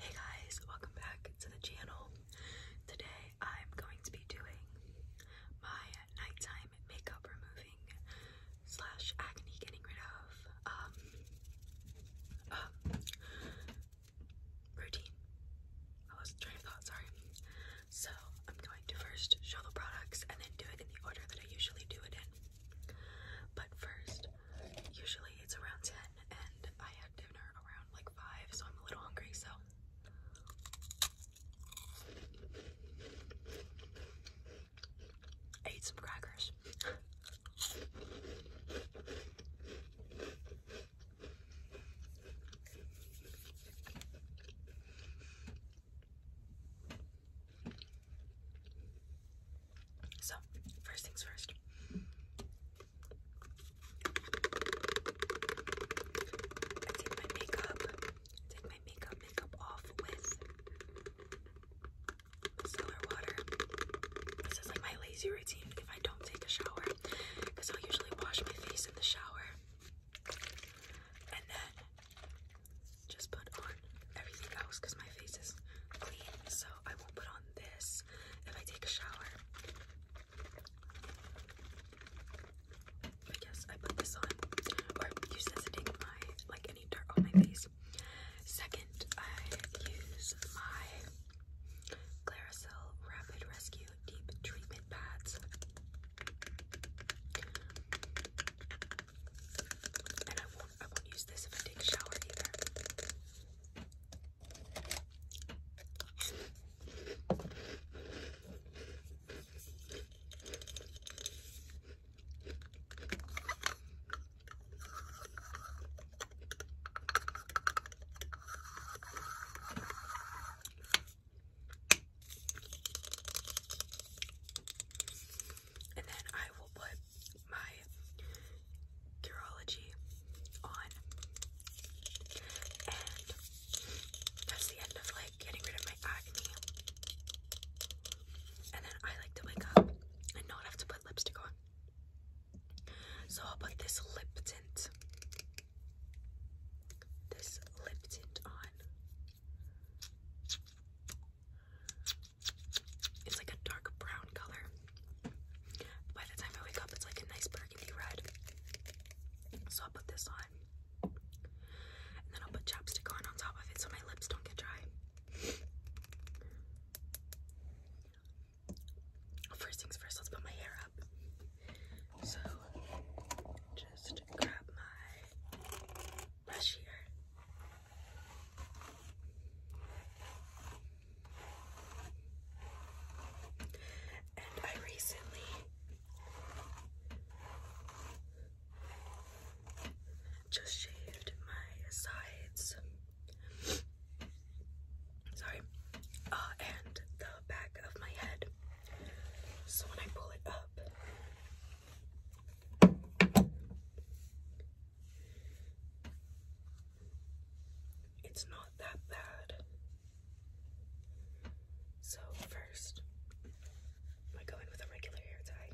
Hey guys, welcome back to the channel. Today I'm going to be doing my nighttime makeup removing slash acne getting rid of um, um routine. I lost train of thought, sorry. So I'm going to first show the products and then do it in the order that I usually do it in. But first, usually it's around 10 and I had dinner around like 5, so I'm a little hungry, so. I ate some crackers. So, first things first. I take my makeup, take my makeup, makeup off with micellar water. This is like my lazy routine if I don't take a shower, because i usually wash my face in the shower, and then just put on everything else because my face is clean, so I won't put on this if I take a shower. But yes, I put this on, or use this to take my like any dirt on my face. Second, I use my Claricel Rapid Rescue Deep Treatment Pads. And I won't I won't use this if I take a shower either and then I will put my Curology on. And that's the end of like getting rid of my acne. And then I like to wake up and not have to put lipstick on. So I'll put this lip tint. This lip tint on. It's like a dark brown color. By the time I wake up, it's like a nice burgundy red. So I'll put this on. And then I'll put chapstick on on top of it so my lips don't get dry. First things first, let's put my hair up. So, just grab my brush here. And I recently just shaved my sides. Sorry. Uh, and the back of my head. So when I pull it up, it's not that bad. So first, I go with a regular hair tie.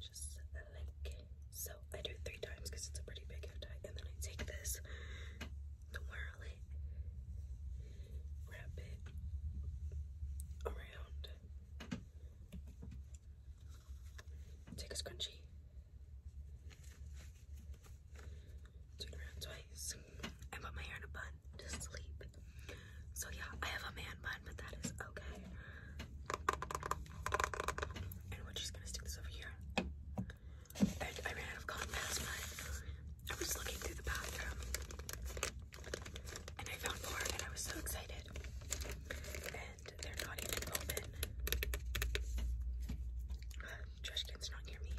Just so. I do three times because it's a pretty big hair tie, and then I take this, twirl it, wrap it around, take a scrunchie, turn around twice, and put my hair in a bun to sleep. So yeah, I have a man bun, but that is okay. And we're just gonna stick this over here. And I ran out of compass, I was looking through the bathroom and I found four and I was so excited. And they're not even open. Uh, trash can's not near me.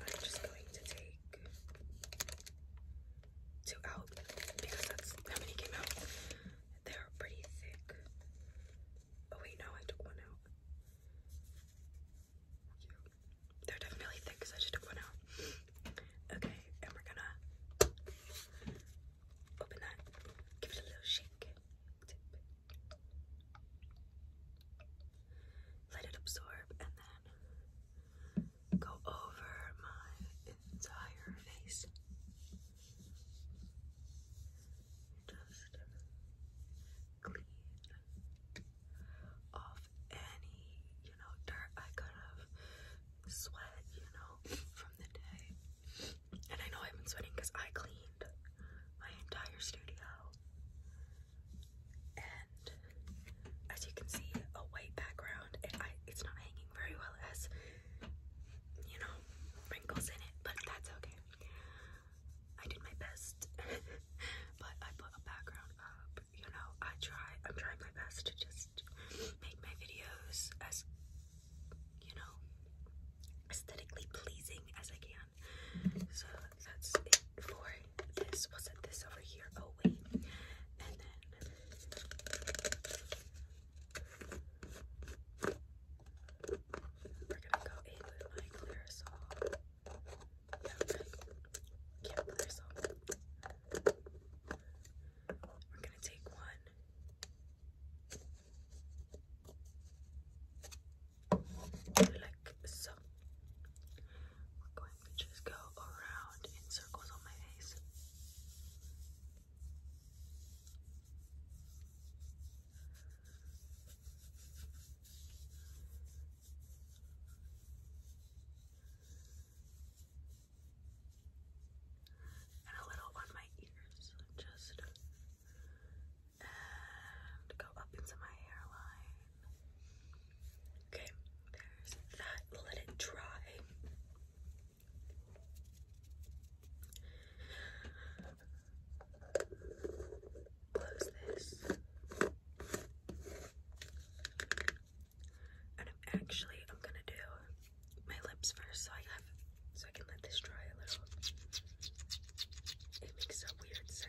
I'm just going to take two out because that's how many came out. They're pretty thick. Oh wait, no, I took one out. They're definitely thick because I just took one out. Okay, and we're gonna open that, give it a little shake. Let it absorb and then go over my entire face. Just clean off any, you know, dirt I could have sweat, you know, from the day. And I know I've been sweating because I cleaned my entire studio as you can see, a white background. it's not hanging very well. as you know, wrinkles in it, but that's okay. I did my best, but I put a background up. You know, I try. I'm trying my best to just make my videos as, you know, aesthetically pleasing as I can. So that's it for this. What's it? This over here. Oh wait, we're gonna go in with my Clearasil. Yeah, yeah, Clearasil. We're gonna take one like so. We're going to just go around in circles on my face. And a little on my ears, just and go up into my hairline. Okay, there's that. Let it dry. Close this. And actually I'm gonna do my lips first so I have so I can let this dry a little. It makes a weird sound.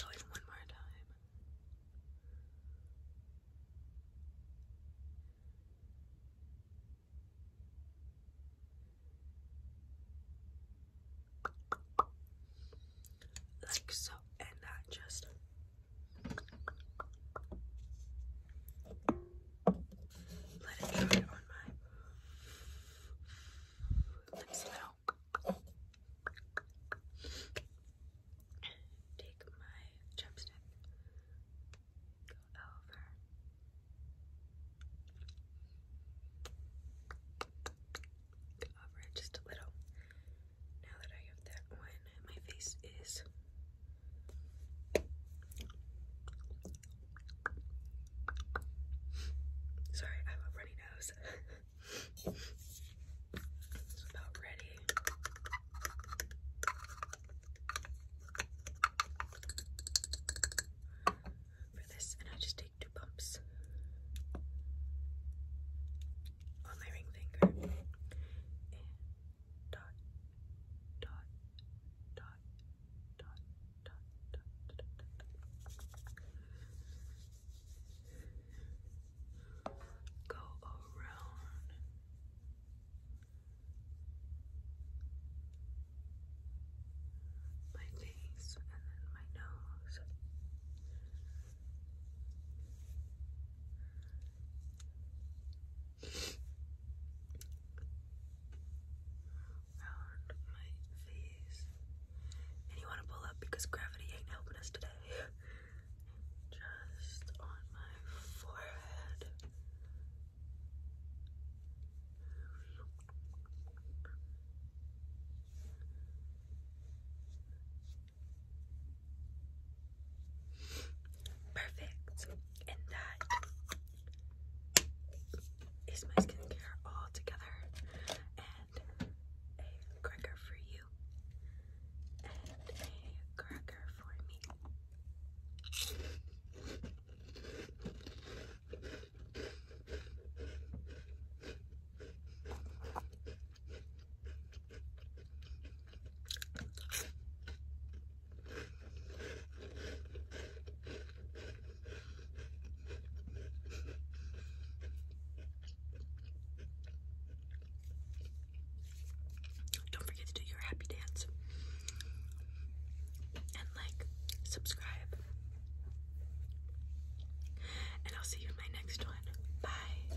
Go in one more time. Like so, and that just let it dry on my lips now. Take my chapstick, go over. over it just a little. Now that I have that one, my face is Sorry, I have a runny nose. about ready. For this, and I just take two bumps on my ring finger dot, dot, dot, dot, dot, Go around. My face and then my nose. And you want to pull up because gravity ain't helping us today. Just on my forehead. Perfect. And that is my skincare all together and a cracker for you and a cracker for me. Don't forget to do your happy dance and like, subscribe. And I'll see you in my next one. Bye.